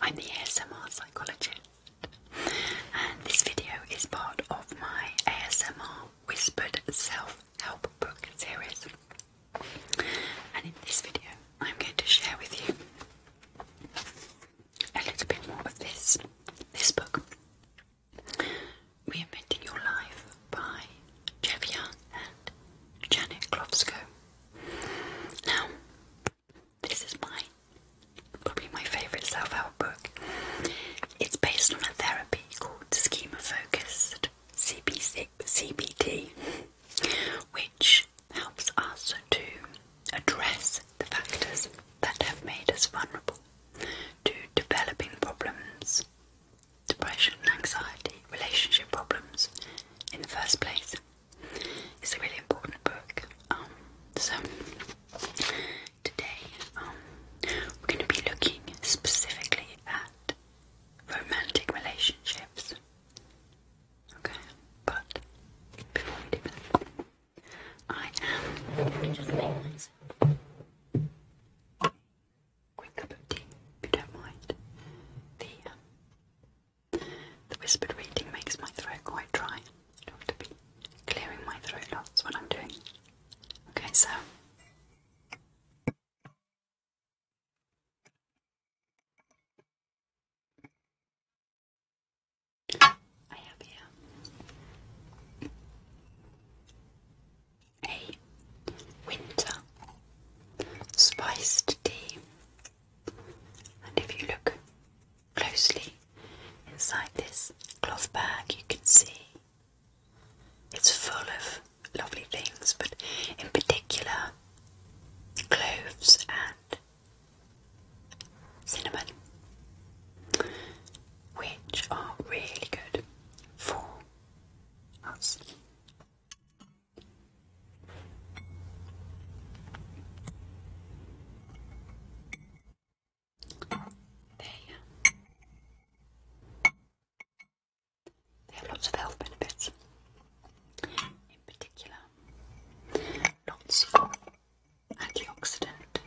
I'm the ASMR psychologist, and this video is part of my ASMR Whispered Self Help Book series. And in this video, I'm going to share with you a little bit more of this this book, Reinventing Your Life by Jeff Young and Janet Klofsko. Now, this is my probably my favourite self-help book. It's based on a therapy called schema focused CBT, which helps us to address the factors that have made us vulnerable to developing problems, depression, anxiety, relationship problems in the first place. It's a really important book. Um, so today um, we're going to be looking specifically at romantic relationships. Okay, but before we do that, I am just make myself a quick cup of tea, if you don't mind. The um, the whispered reading makes my throat quite dry. have to be clearing my throat lots when I'm doing. Okay, so I have here a winter spiced tea. And if you look closely inside this cloth bag, you can see it's full of lovely things, but in particular, cloves and cinnamon, which are really good for us. They, they have lots of health benefits. In particular, lots of antioxidant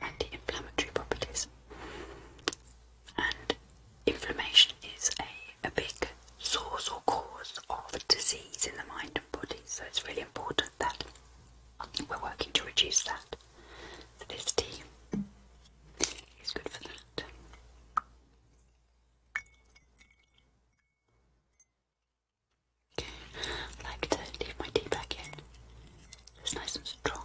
anti-inflammatory properties. And inflammation is a, a big source or cause of disease in the mind and body, so it's really important that we're working to reduce that. this tea is good for that. Okay, like to leave my tea back in. It's nice and strong.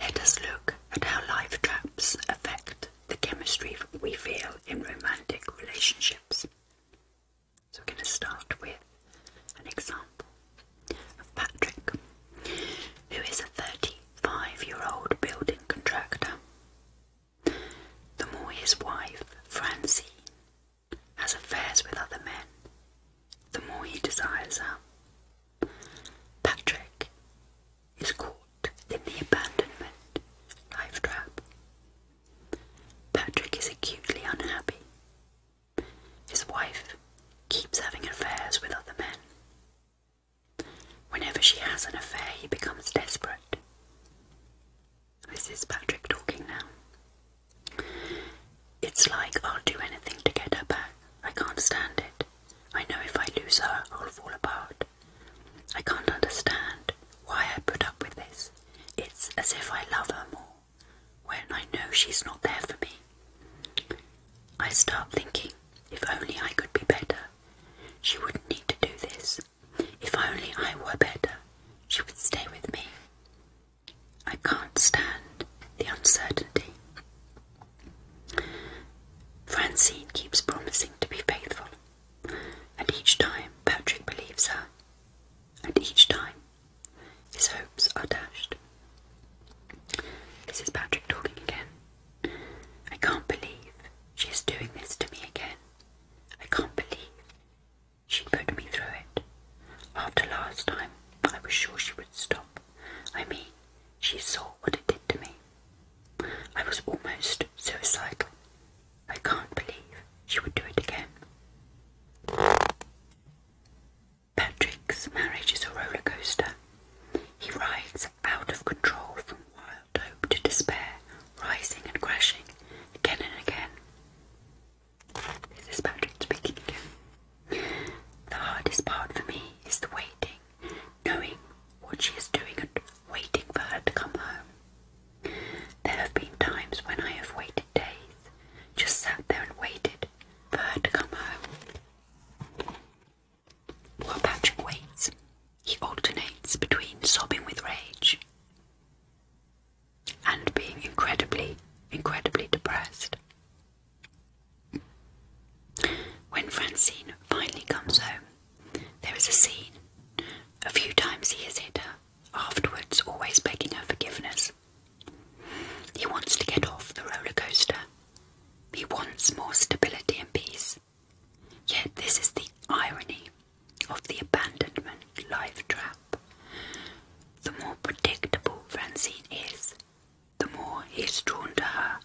Let us look at how life traps affect the chemistry we feel in romantic relationships. So, we're going to start with an example of Patrick, who is a 35 year old building contractor. The more his wife, Francine has affairs with other men, the more he desires her. Patrick is caught in the abandonment life trap. Patrick is acutely unhappy. His wife keeps having affairs with other men. Whenever she has an affair, he becomes desperate. This is Patrick talking now. It's like I'll do anything to get her back. I can't stand it. I know if I lose her, I'll fall apart. I can't understand why I put up with this. It's as if I love her more when I know she's not there for me. I start thinking if only I could be better. She wouldn't need to do this. If only I were better, she would stay with me. I can't stand the uncertainty. Francine keeps promising to be faithful, and each time Patrick believes her, and each time his hopes are dashed. This is Patrick talking again. I can't believe she's doing this to me again. I can't believe she put me through it after last time I was sure she would stop. I mean, she saw what it did to me. I was almost suicidal. I can't believe she would do it again. Patrick's marriage is a roller coaster. He rides out of control from wild hope to despair, rising and crashing again and again. This is Patrick speaking again. The hardest part for me is the waiting, knowing what she is doing and waiting for her to come home. There have been times when I have waited days, just sat there and waited for her to come home. While Patrick waits, he alternates between sobbing with rage and being incredibly, incredibly depressed. When Francine finally comes home, there is a scene. A few times he has hit her, afterwards, always begging her forgiveness. He wants to get off the roller coaster. He wants more stability and peace. Yet, this is the irony of the abandonment life trap the more predictable Francine is, the more he is drawn to her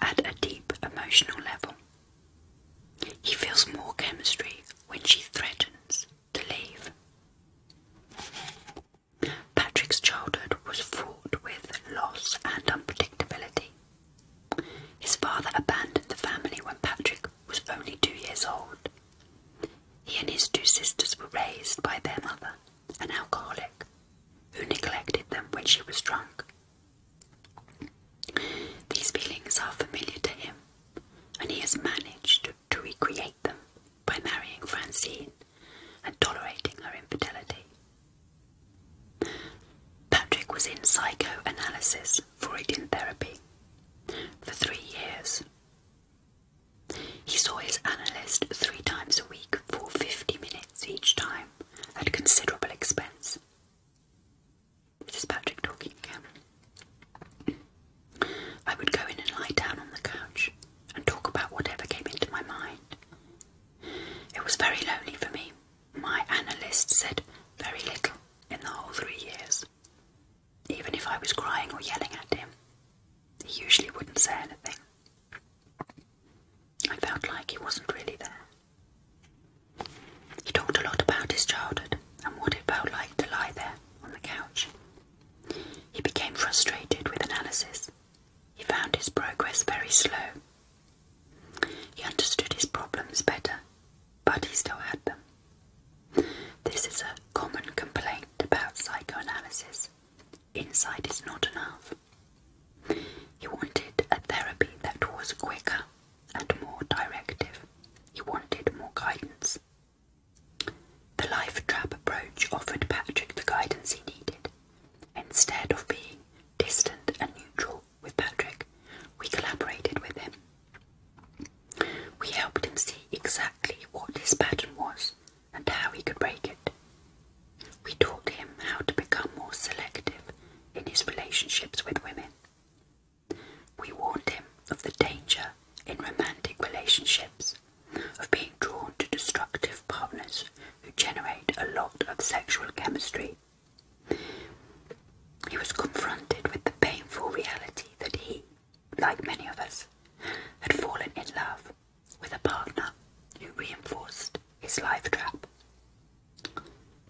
at a deep emotional level. He feels more chemistry when she threatens to leave. Patrick's childhood was fraught with loss and unpredictability. His father abandoned the family when Patrick was only two years old he and his two sisters were raised by their mother, an alcoholic, who neglected them when she was drunk. These feelings are familiar to him, and he has managed to, recreate them by marrying Francine and tolerating her infidelity. Patrick was in psychoanalysis, Freudian therapy, for three years, he saw his analyst three times a week for 50 minutes each time at considerable expense. This is Patrick talking again. I would go in and lie down on the couch and talk about whatever came into my mind. It was very lonely for me. My analyst said very little in the whole three years. Even if I was crying or yelling at him, he usually wouldn't say anything. I felt like he wasn't really there. He talked a lot about his childhood and what it felt like to lie there on the couch. He became frustrated with analysis. He found his progress very slow. He understood his problems better, but he still had them. This is a common complaint about psychoanalysis. Insight is not enough. He wanted a therapy that was quicker and more directive. He wanted more guidance. The life trap approach offered Patrick the guidance he needed. Instead of being distant and neutral with Patrick, we collaborated with him we helped him see exactly what his pattern was and how he could break it. We taught him how to become more selective in his relationships with women. We warned him of the danger in romantic relationships of being drawn to destructive partners who generate a lot of sexual chemistry. He was confronted with the painful reality that he, like many of us, had fallen in love with a partner who reinforced his life trap.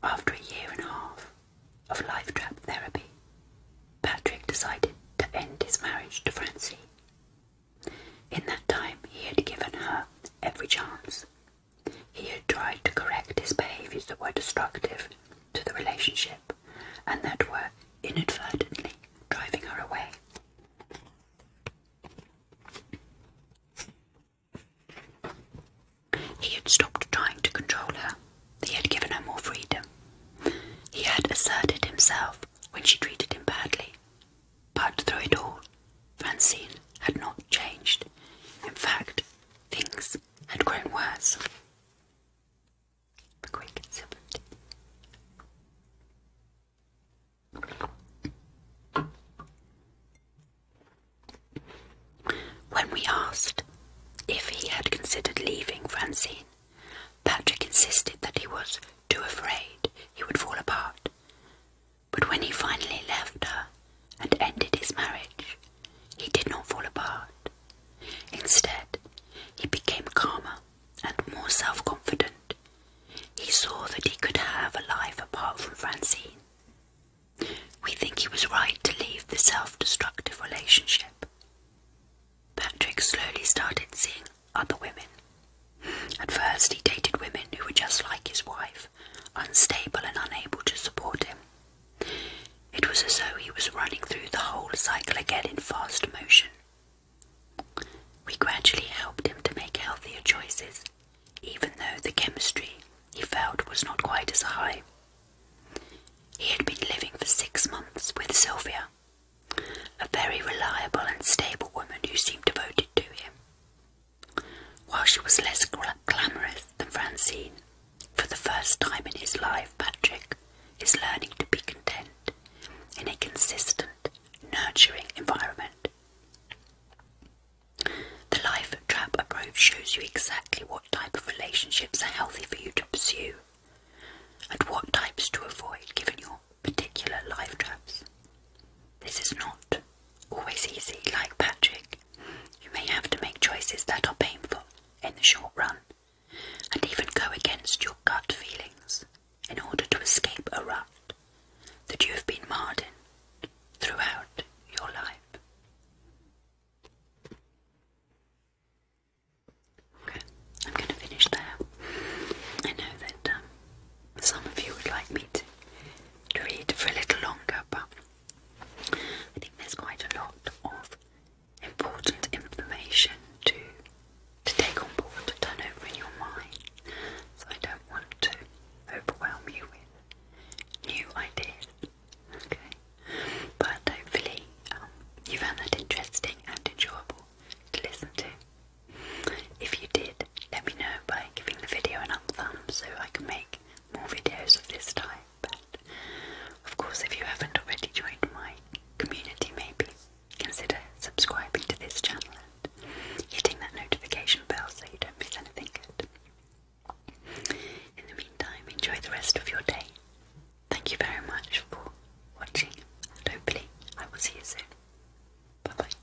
After a year and a half of life trap therapy, Patrick decided to end his marriage to Francie. In that time, he had given her every chance. He had tried to correct his behaviours that were destructive to the relationship and that were inadvertently driving her away. He had stopped trying to control her. He had given her more freedom. He had asserted himself when she treated him badly. But through it all, Francine had not changed. In fact, things had grown worse. When we asked if he had considered leaving Francine, Patrick insisted that he was too afraid he would fall apart. But when he finally left her, and ended his marriage, he did not fall apart. Instead, he became calmer and more self confident. He saw that he could have a life apart from Francine. We think he was right to leave the self destructive relationship. Patrick slowly started seeing other women. At first, he dated women who were just like his wife, unstable and unable to support him. It was as though he was running through the whole cycle again in fast motion. We gradually helped him to make healthier choices, even though the chemistry he felt was not quite as high. He had been living for six months with Sylvia, a very reliable and stable woman who seemed devoted to him. While she was less glamorous than Francine, for the first time in his life, Patrick is learning to be content in a consistent, nurturing environment. The Life Trap approach shows you exactly what type of relationships are healthy for you to pursue and what types to avoid given your particular life traps. This is not always easy, like Patrick. You may have to make choices that are painful in the short run and even go against your gut feelings in order to escape a rut that you have been marred in throughout your life. Okay, I'm going to finish there. I know that um, some of you would like me to, to read for a little longer, but I think there's quite a lot of important information to to take on board, to turn over in your mind. So I don't want to overwhelm you with new ideas. Okay. But hopefully um, you found that interesting and enjoyable to listen to. If you did, let me know by giving the video an up thumb so I can make more videos of this type. And of course, if you haven't already joined my community, maybe consider subscribing to this channel and hitting that notification bell so you don't miss anything In the meantime, enjoy the rest of your day. Thank you very much for watching, and hopefully, I will see you soon. Bye bye.